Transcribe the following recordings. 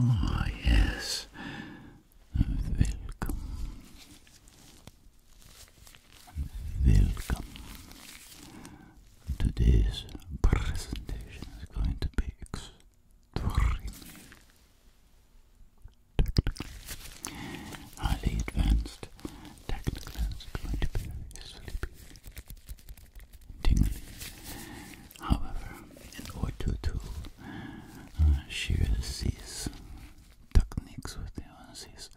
Ah, oh, yes. Welcome. Welcome. Today's presentation is going to be extremely technical, highly advanced, Technoclans are going to be very sleepy, tingly. However, in Ortutu, uh, she sees techniques with the these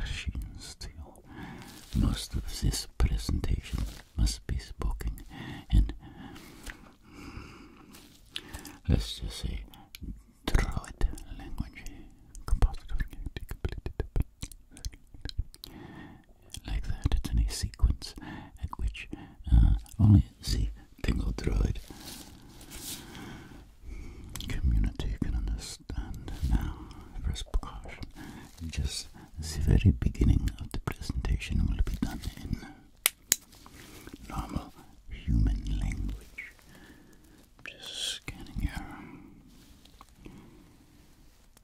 machines still. Most of this presentation must be spoken in, let's just say, Druid language composite completed. Like that, it's in sequence at which uh, only the Pingo Droid community can understand. Now, first precaution, just the very beginning of the presentation will be done in normal human language. Just scanning your um,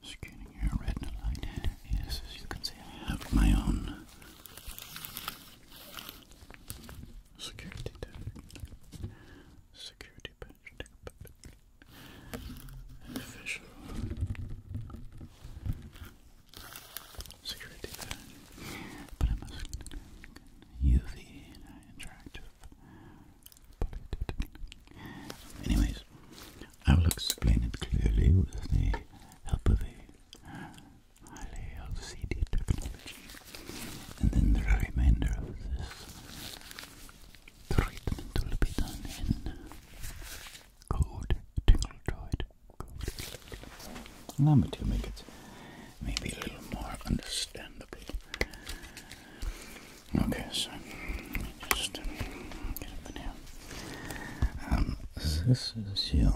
scanning your retinal line. Yes, as you can see, I have my own security security patch, official security patch. But I'm UV interactive. Anyways, I will explain it clearly with the help of a highly LCD technology. And then the remainder of this treatment will be done in code tingle droid code. Allow me to make it maybe a little more understandable. Okay, so just get up in here. Um, this is you.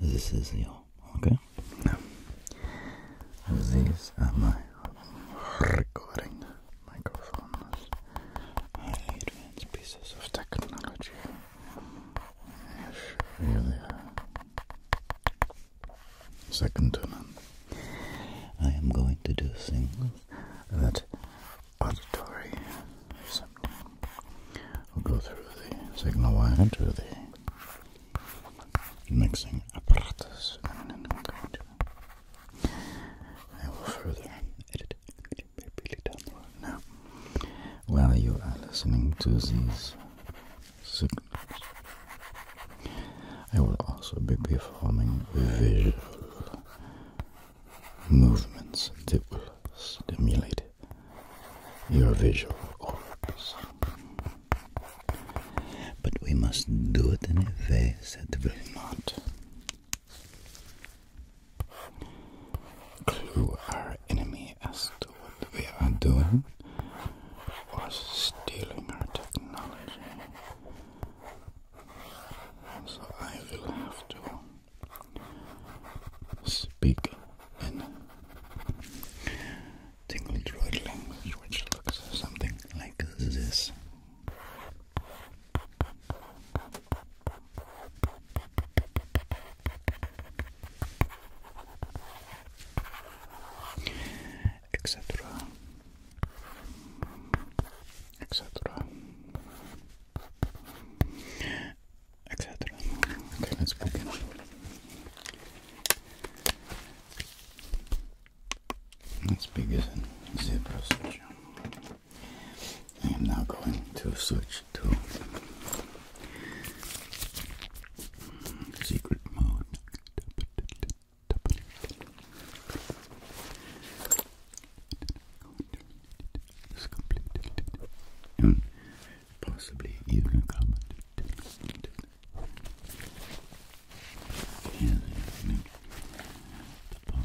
This is your okay. these are my recording microphones. advanced pieces of technology. Second to I am going to do things that auditory symptom will go through the signal wire to the mixing apparatus and then will further edit really down the road now while you are listening to these signals. I will also be performing visual movements that will stimulate your visual orbs. But we must do it in a way that will not clue our enemy as to what we are doing or stealing our technology. So I will have to speak in tingle droid language, which looks something like this. Etc. Etc etc. Okay, let's begin. Let's begin zebra search. I am now going to switch to secret mode is completed and possibly even accompanied. And the bottom.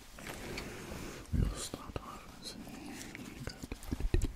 We'll start off and It's going to be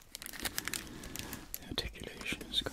The articulation is good.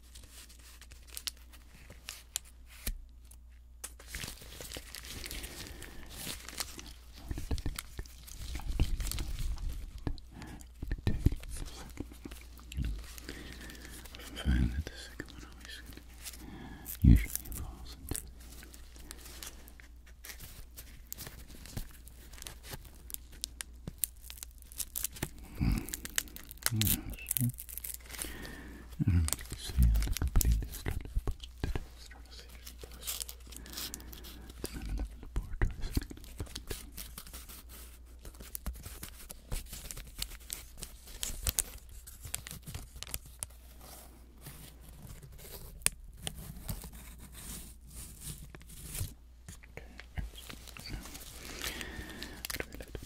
I find that the second one always usually falls into Mm. Yes. I don't see how to completely start up the demonstration process. And then another laboratory setting up too. Okay, excellent. Now, what do we like to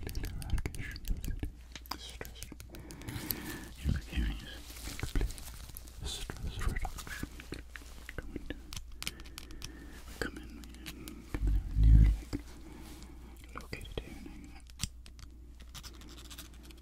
Complete eradication of stress. You complete stress reduction. Come in, come in, come in here, located here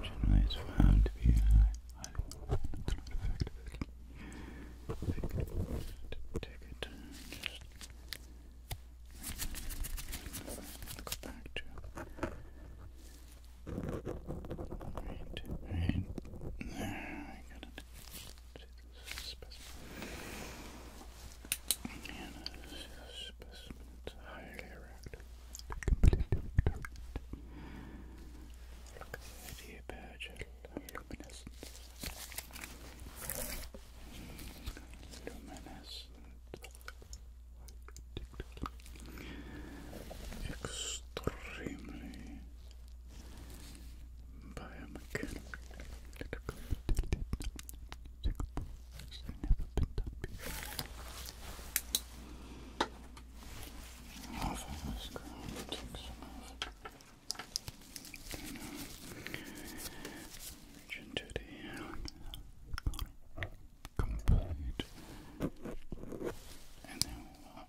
Generally, it's found to be highly effective ticket. Just go back to right, right there. I got it this specimen highly erect, completely Look at the idea badge of luminescent. Luminescent. Extremely biomechanical political Singapore has never been done before. Off of this ground, take some off. And, uh, reach into the uh, complete. And then we'll uh,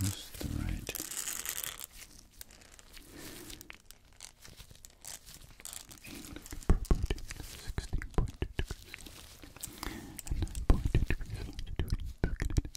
Just the right sixteen point two and nine point two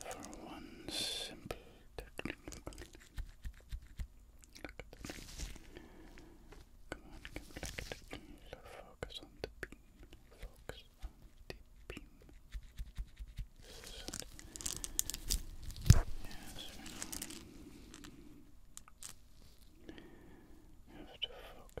for one simple technical. Look at that. Come on, come back at the so focus on the beam. Focus on the beam. Yes, we have to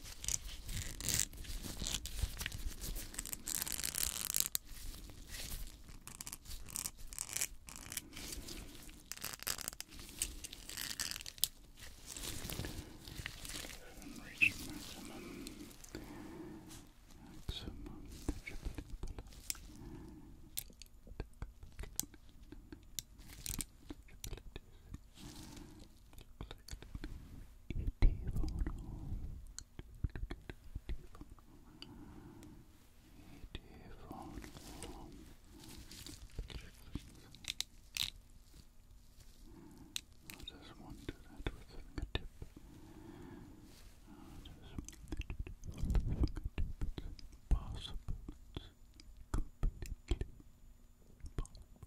reach maximum maximum Eighty-four, I just want to that with the fingertip. just want to that with the fingertip. impossible. completely impossible.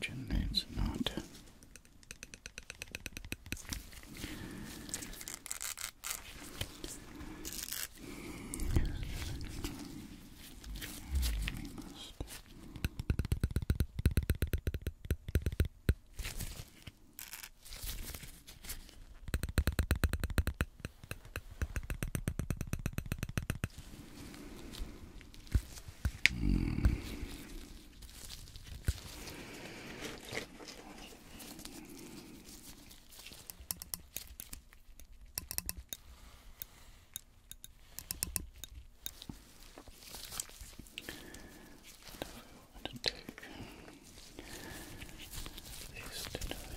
generates not. Mm. I'm going to take these two dice.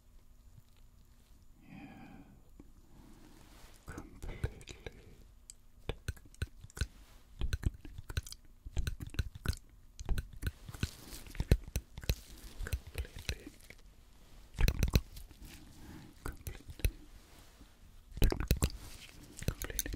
Yeah, completely. Completely. Completely. Completely.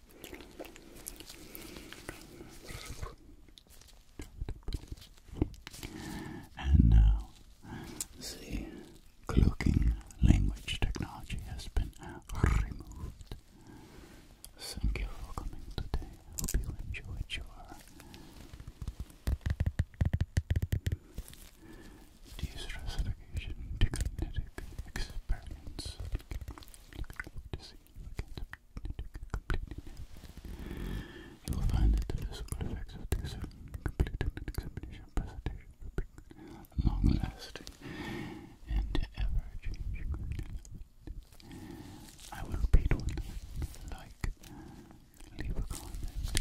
And now the cloaking language technology has been removed. Thank you for coming today. I Hope you enjoyed your de-stressification, de experience. You will find that the physical of this complete an examination presentation long lasting and ever changing. I will repeat one like, leave a comment,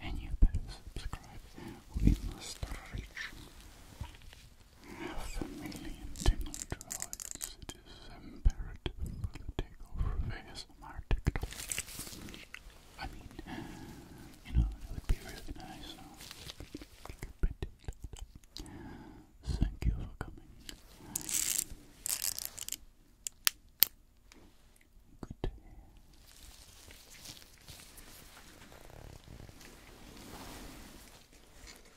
and you better subscribe. We must reach half a million tingle it is imperative for the takeover of ASMR TikTok. I mean, you know, it would be really nice. Thank you for coming. Good